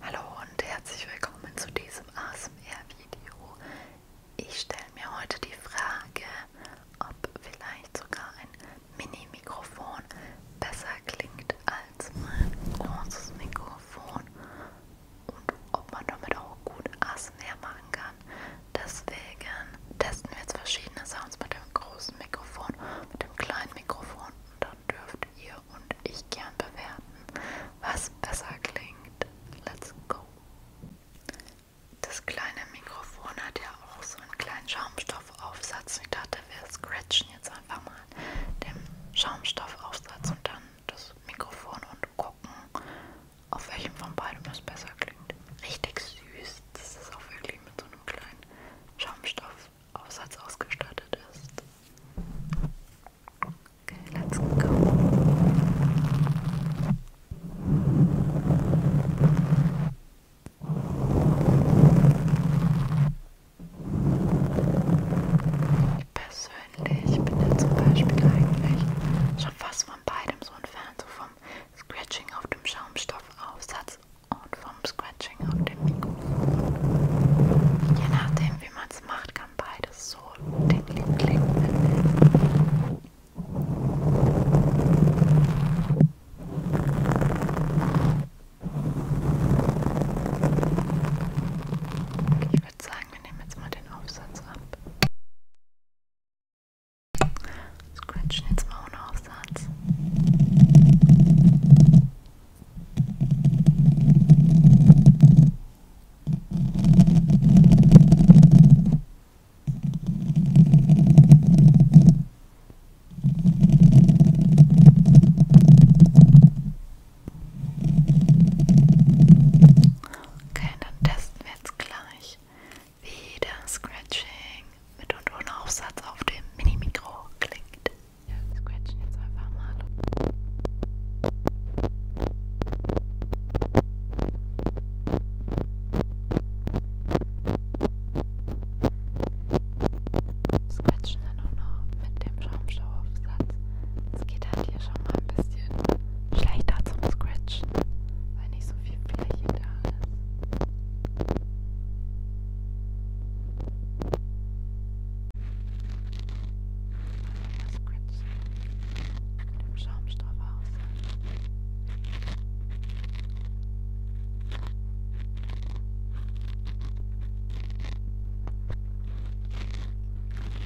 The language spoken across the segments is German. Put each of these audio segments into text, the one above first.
Hallo und herzlich willkommen zu diesem ASMR-Video. Ich stelle mir heute die Frage, ob vielleicht sogar ein Mini-Mikrofon besser klingt als mein großes Mikrofon und ob man damit auch gut ASMR machen kann. Deswegen testen wir jetzt verschiedene Sounds mit dem großen Mikrofon, mit dem kleinen Mikrofon und dann dürft ihr und ich gern bewerten, was besser klingt. Let's go! Das kleine Mikrofon hat ja auch so einen kleinen Schaumstoffaufsatz. Ich dachte, wir scratchen jetzt einfach mal den Schaumstoffaufsatz und dann das Mikrofon und gucken, auf welchem von beiden es besser klingt. Richtig süß. Das ist auch wirklich mit so einem kleinen Schaumstoff Aufsatz ausgestattet ist. Okay, let's go. Ich persönlich bin ja zum Beispiel eigentlich schon fast von beidem so ein Fan, so vom Scratching auf dem Schaumstoffaufsatz und vom Scratching auf dem Mikrofon. Je nachdem, wie man es macht, kann beides so tickling klingen. Okay, ich würde sagen, wir nehmen jetzt mal den Aufsatz ab. Scratchen jetzt mal ohne Aufsatz. Okay, dann testen wir jetzt gleich wieder Scratching mit und ohne Aufsatz auf dem Mini-Mikro klingt. Ja, wir scratchen jetzt einfach mal. Scratchen dann auch noch mit dem Schaumstoffaufsatz. Es geht halt hier schon mal ein bisschen schlechter zum Scratchen, weil nicht so viel Fläche da ist. Das Grinsen mit dem Schaumstoff aus.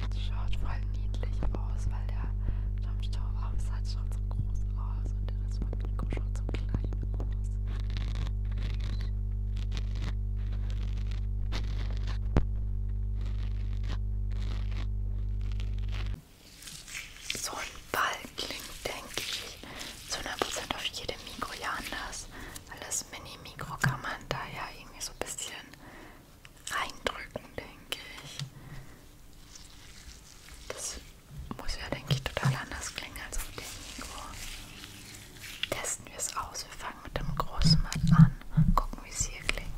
Das schaut voll niedlich aus, weil der Schaumstoff auch so groß aus und der ist aber Nico schaut so klein aus. So ein Ball klingt, denke ich, zu 100% auf jedem Mikro ja anders. Weil das Mini-Mikro kann man da ja irgendwie so ein bisschen reindrücken, denke ich. Das muss ja, denke ich, total anders klingen als auf dem Mikro. Testen wir es aus. Wir fangen mit dem großen Mann an. Gucken, wie es hier klingt.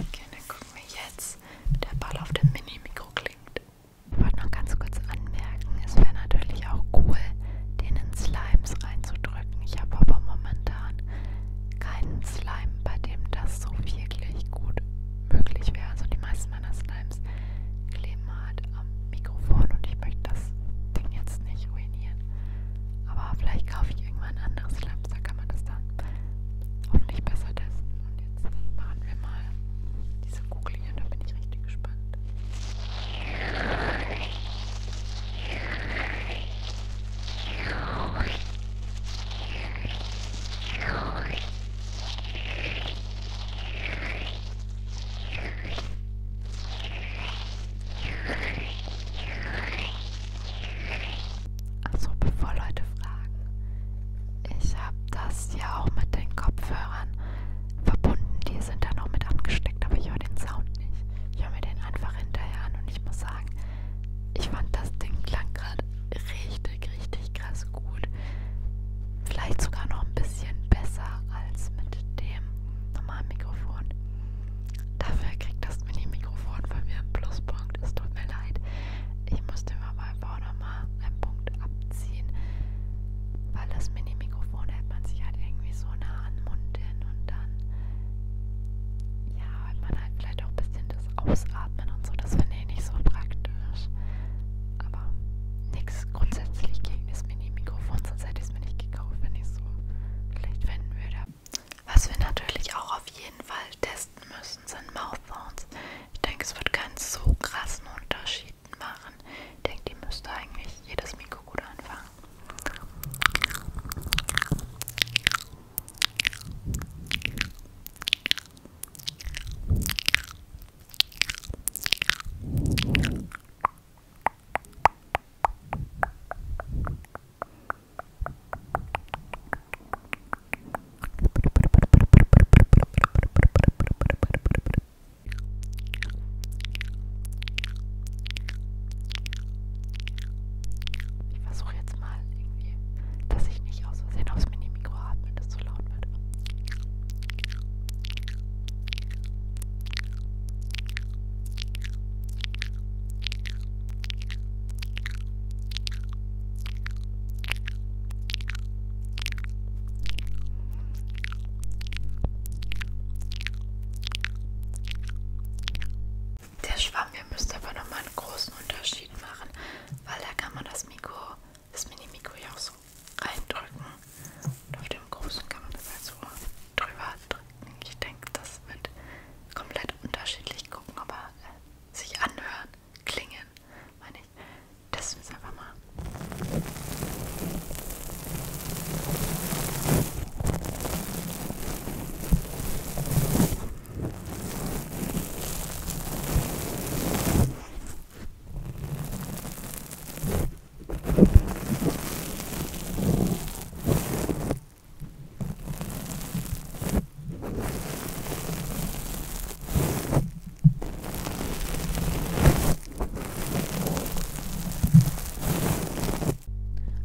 Okay, dann gucken wir jetzt, dass der Ball auf dem Mini-Mikro klingt. Ich wollte noch ganz kurz anmerken, es wäre natürlich auch cool, den in Slimes reinzudrücken. Ich habe aber momentan keinen Slime, bei dem das so wirklich gut möglich wäre. Also die meisten meiner Slimes kleben halt am Mikrofon und ich möchte das Ding jetzt nicht ruinieren. Aber vielleicht kaufe ich irgendwann ein anderes Slime, da kann man das dann hoffentlich besser testen. Und jetzt dann machen wir mal diese Kugel hier, da bin ich richtig gespannt. Also bevor Leute fragen, ich habe das ja auch mit den Kopfhörern verbunden. Die sind dann auch mit angesteckt, aber ich höre den Sound nicht. Ich höre mir den einfach hinterher an und ich muss sagen, ich fand das Ding klang gerade richtig, richtig krass gut. Vielleicht sogar noch ein bisschen besser als mit dem normalen Mikrofon. Dafür kriegt das Mini-Mikrofon von mir einen Pluspunkt. Es tut mir leid. Ich muss dem aber einfach nochmal einen Punkt abziehen, weil das Mini-Mikrofon hält man sich halt irgendwie so nah an den Mund hin und dann, ja, hält man halt vielleicht auch ein bisschen das Ausatmen und so. Das finde ich nicht so praktisch. Aber nichts grundsätzlich gegen das Mini-Mikrofon, sonst hätte ich es mir nicht gekauft, wenn ich es so schlecht finden würde. Was wir natürlich auch auf jeden Fall testen müssen, sind Mouthphones. Ich denke, es wird keinen so krassen Unterschied machen. Ich denke, die müsste eigentlich jedes Mikro gut anfangen. Ich versuche jetzt mal irgendwie, dass ich nicht aus Versehen aufs Mini-Mikro atme, das zu laut wird. Der Schwamm hier müsste aber nochmal einen großen Unterschied machen, weil da kann man das Mikro, das Mini-Mikro ja auch so reindrücken. Und auf dem großen kann man das halt so drüber drücken. Ich denke, das wird komplett unterschiedlich gucken, aber äh, sich anhören, klingen, meine ich. Testen wir es einfach mal.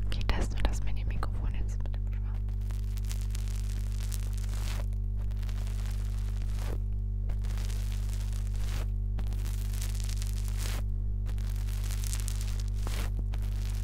Okay, testen wir das mit dem Mikrofon jetzt mit dem Schwamm. Okay,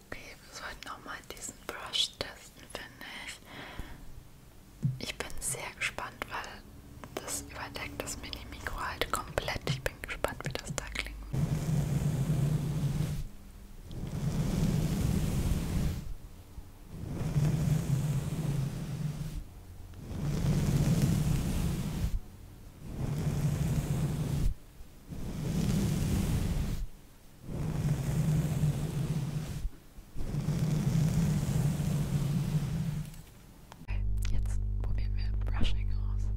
Okay, wir sollten auch mal diesen Brush testen, finde ich. Ich bin sehr gespannt, weil das überdeckt das Mini-Mikro halt komplett. Ich bin gespannt, wie das da klingt. Okay, Jetzt probieren wir Brushing aus.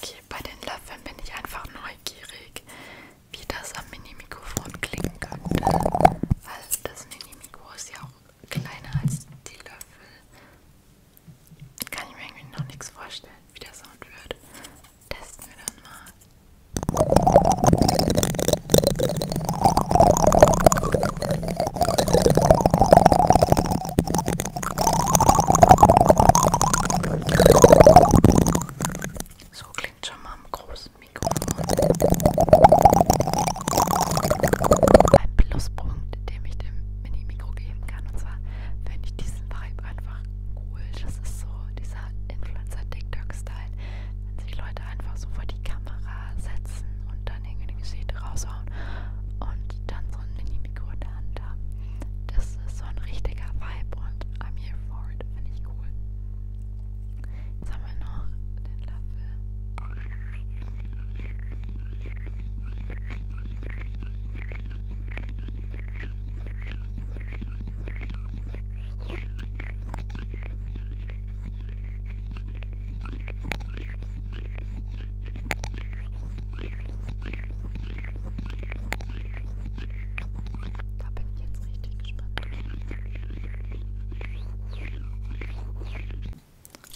Okay, bei den Löffeln bin ich einfach neugierig, wie das am Mini-Mikrofon klingen könnte. Weil das Mini-Mikro ist ja auch kleiner als die Löffel. Kann ich mir irgendwie noch nichts vorstellen, wie der Sound wird. Testen wir dann mal. So klingt schon mal am großen Mikrofon. Ein Pluspunkt, den ich dem Mini-Mikro geben kann. Und zwar finde ich diesen Vibe einfach cool. Das ist so dieser Influencer-TikTok-Style, wenn sich Leute einfach so vor die Kamera setzen und dann irgendwie eine Geschichte raushauen und dann so ein Mini-Mikro in der Hand haben. Das ist so ein richtiger Vibe und I'm here for it. Finde ich cool. Jetzt haben wir noch den Löffel. Da bin ich jetzt richtig gespannt.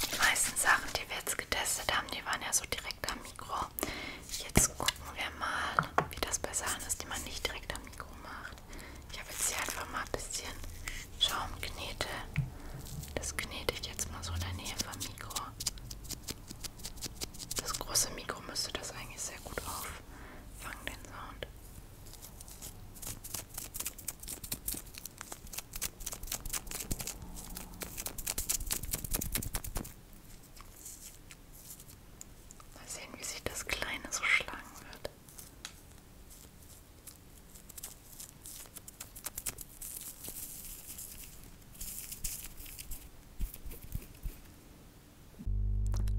Die meisten Sachen, die wir jetzt getestet haben, die waren ja so direkt direkt am Mikro. Jetzt gucken wir mal, wie das bei Sachen ist, die man nicht direkt am Mikro macht. Ich habe jetzt hier einfach mal ein bisschen Schaumknete. Das knete ich jetzt mal so in der Nähe vom Mikro. Das große Mikro müsste das eigentlich sehr gut auffangen, den Sound. Mal sehen, wie sich das Kleine so schlagen wird.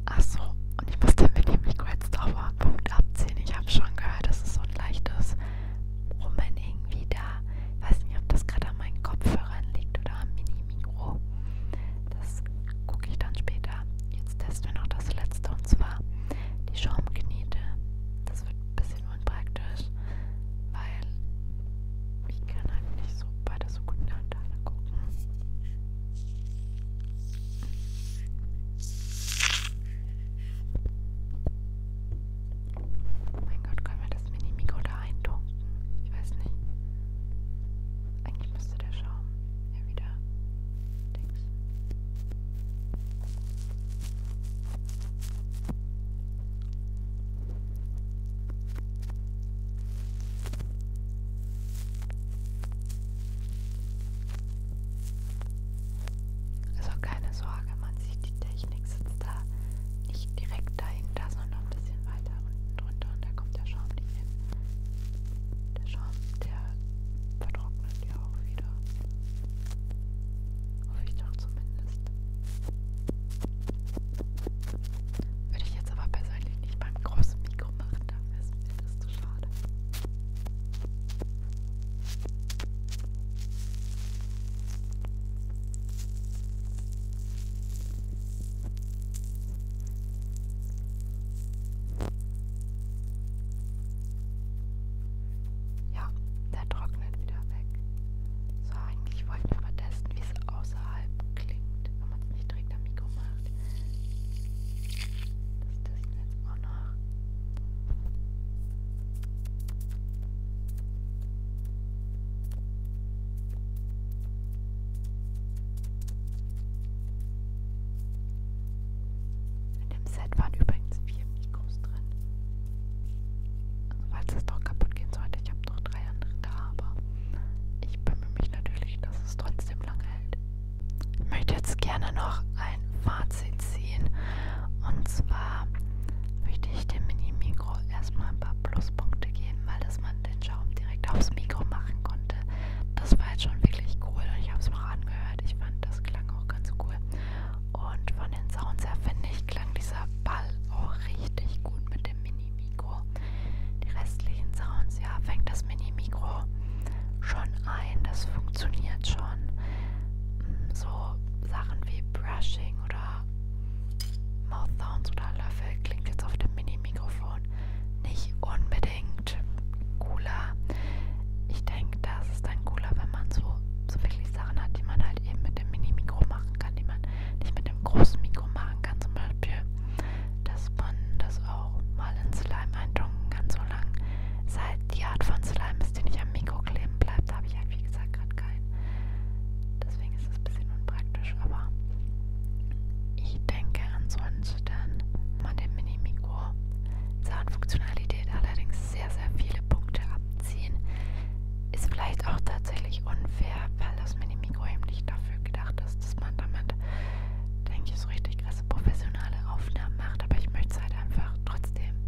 Achso, und ich musste mit dem Mikro jetzt drauf auf Punkt abziehen. Ich habe schon gehört, dass es so ein leichtes Brummen irgendwie da. Ich weiß nicht, ob das gerade an meinen Kopfhörern liegt oder am Mini-Mikro. Das gucke ich dann später. Jetzt testen wir noch das letzte und zwar die Schaumknete. Das wird ein bisschen unpraktisch, weil ich kann halt nicht so beide so gut in der Hand gucken. Mein Gott, können wir das Mini-Mikro da eintunken? Ich weiß nicht. Eigentlich müsste der Schaum ja wieder. Dings. Also keine Sorge, man sieht die Technik sitzt da nicht direkt dahinter, sondern ein bisschen weiter unten drunter und da kommt der Schaum nicht hin. Der Schaum, der vertrocknet ja auch wieder. Hoffe ich doch zumindest. Würde ich jetzt aber persönlich nicht beim großen Mikro machen, dafür ist mir das zu schade. Ja, der trocknet wieder weg. So, eigentlich wollten wir aber testen, wie es außerhalb klingt, wenn man es nicht direkt am Mikro macht. Das testen wir jetzt auch noch. In dem Set waren übrigens vier Mikros drin. Also falls es doch kaputt gehen sollte, ich habe noch drei andere da, aber ich bemühe mich natürlich, dass es trotzdem lang hält. Ich möchte jetzt gerne noch ein Fahrzeug Nordsee ziehen. Und zwar möchte ich dem Mini-Mikro erstmal ein paar Pluspunkte geben, weil dass man den Schaum direkt aufs Mikro machen konnte. Das war jetzt schon wirklich cool und ich habe es mir auch angehört. Ich fand das klang auch ganz cool. Und von den Sounds her finde ich, klang dieser Ball auch richtig gut mit dem Mini-Mikro. Die restlichen Sounds, ja, fängt das Mini-Mikro schon ein. Das funktioniert schon so Sachen wie Brushing oder Mouth Sounds oder Löffel klingt jetzt auf dem Mini-Mikrofon nicht unbedingt cooler. Ich denke, das ist dann cooler, wenn man so, so wirklich Sachen hat, die man halt eben mit dem Mini-Mikro machen kann, die man nicht mit dem großen Mikro machen kann. Zum Beispiel, dass man das auch mal in Slime eintunken kann, solange es halt die Art von Slime Mist, den ich am Mikro kleben bleibt. Da habe ich halt, wie gesagt, gerade keinen. Deswegen ist es ein bisschen unpraktisch, aber ich denke ansonsten man dem Mini-Mikro Zahnfunktionalität allerdings sehr, sehr viele Punkte abziehen. Ist vielleicht auch tatsächlich unfair, weil das Mini-Mikro eben nicht dafür gedacht ist, dass man damit, denke ich, so richtig krasse professionelle Aufnahmen macht. Aber ich möchte es halt einfach trotzdem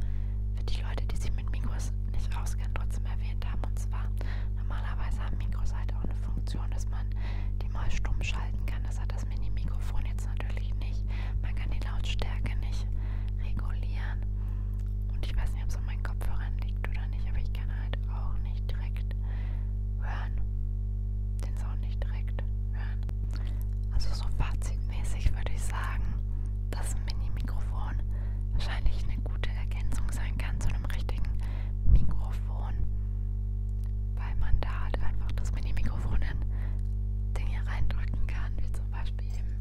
für die Leute, die sich mit Mikros nicht auskennen, trotzdem erwähnt haben. Und zwar, normalerweise haben Mikros halt auch eine Funktion, dass man die mal stumm schalten kann. Das hat das Mini-Mikrofon jetzt natürlich nicht. Man kann die Lautstärke nicht regulieren. Und ich weiß nicht, ob es an meinen Kopfhörern liegt oder nicht, aber ich kann halt auch nicht direkt hören. Den Sound nicht direkt hören. Also so fazitmäßig würde ich sagen, dass ein Mini-Mikrofon wahrscheinlich eine gute Ergänzung sein kann zu einem richtigen Mikrofon, weil man da halt einfach das Mini-Mikrofon in Dinge reindrücken kann, wie zum Beispiel eben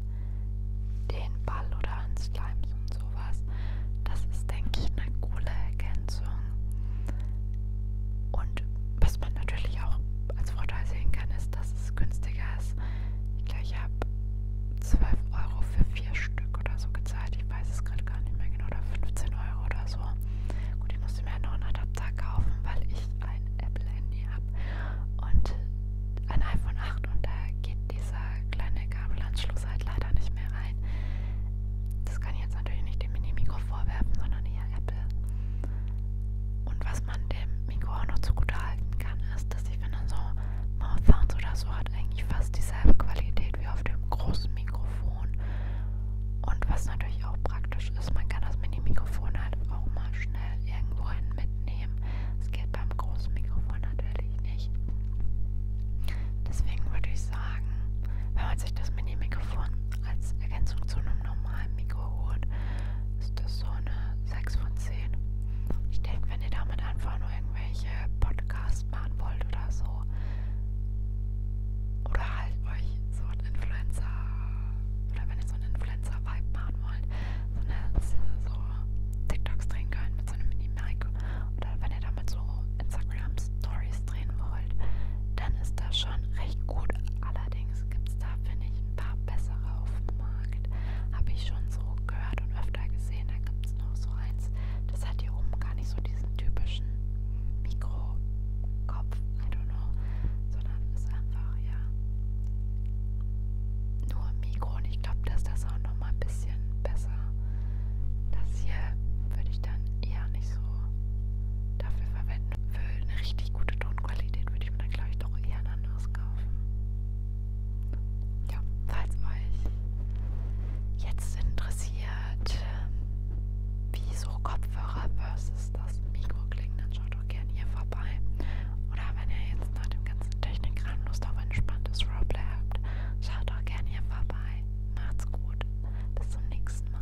den Ball oder an Slimes und sowas. Das ist, denke ich, eine coole Ergänzung. Und was man natürlich auch als Vorteil sehen kann, ist, dass dass es günstiger ist. Ich glaube, ich habe 12 Euro für vier Stück oder so gezahlt. Ich weiß es gerade gar nicht mehr genau. Oder 15 Euro oder so. Gut, ich musste mir halt noch einen Adapter kaufen, weil ich ein Apple-Handy habe. Und ein iPhone 8 und da geht dieser kleine Kabelanschluss halt leider nicht mehr rein. Das kann ich jetzt natürlich nicht dem Mini-Mikro vorwerfen, sondern eher Apple. Und was was man dem Mikro auch noch zugute halten kann, ist, dass ich, wenn man so Mouthsounds oder so hat, eigentlich fast dieselbe Qualität wie auf dem großen Mikrofon. Und was natürlich auch praktisch ist, man kann das Mini-Mikrofon halt auch mal schnell irgendwohin mitnehmen. Das geht beim großen Mikrofon natürlich nicht. Deswegen würde ich sagen, wenn man sich das Mini-Mikrofon als Ergänzung zu einem normalen Mikro holt, ist das so eine 6 von 10. Ich denke, wenn ihr damit einfach nur irgendwelche Podcasts machen wollt oder so, oder halt euch so ein Influencer, oder wenn ihr so einen Influencer-Vibe machen wollt, so eine so TikToks drehen könnt mit so einem Mini-Mic, oder wenn ihr damit so Instagram-Stories drehen wollt, dann ist das schon recht gut. Allerdings Übrigens gibt es da, finde ich, ein paar bessere auf dem Markt. Habe ich schon so gehört und öfter gesehen. Da gibt es noch so eins. Das hat hier oben gar nicht so diesen typischen Mikrokopf. I don't know. Sondern ist einfach, ja. Nur Mikro. Und ich glaube, dass das auch nochmal ein bisschen besser. Das hier würde ich dann eher nicht so dafür verwenden für eine richtig gute Tonqualität würde ich mir dann, glaube ich, doch eher ein anderes kaufen. Ja, falls euch jetzt interessiert, wie so Kopfhörer versus das Mikro klingen, dann schaut doch gerne hier vorbei. Oder wenn ihr jetzt nach dem ganzen Technikkram Lust auf ein entspanntes Roleplay habt, schaut doch gerne hier vorbei. Macht's gut. Bis zum nächsten Mal.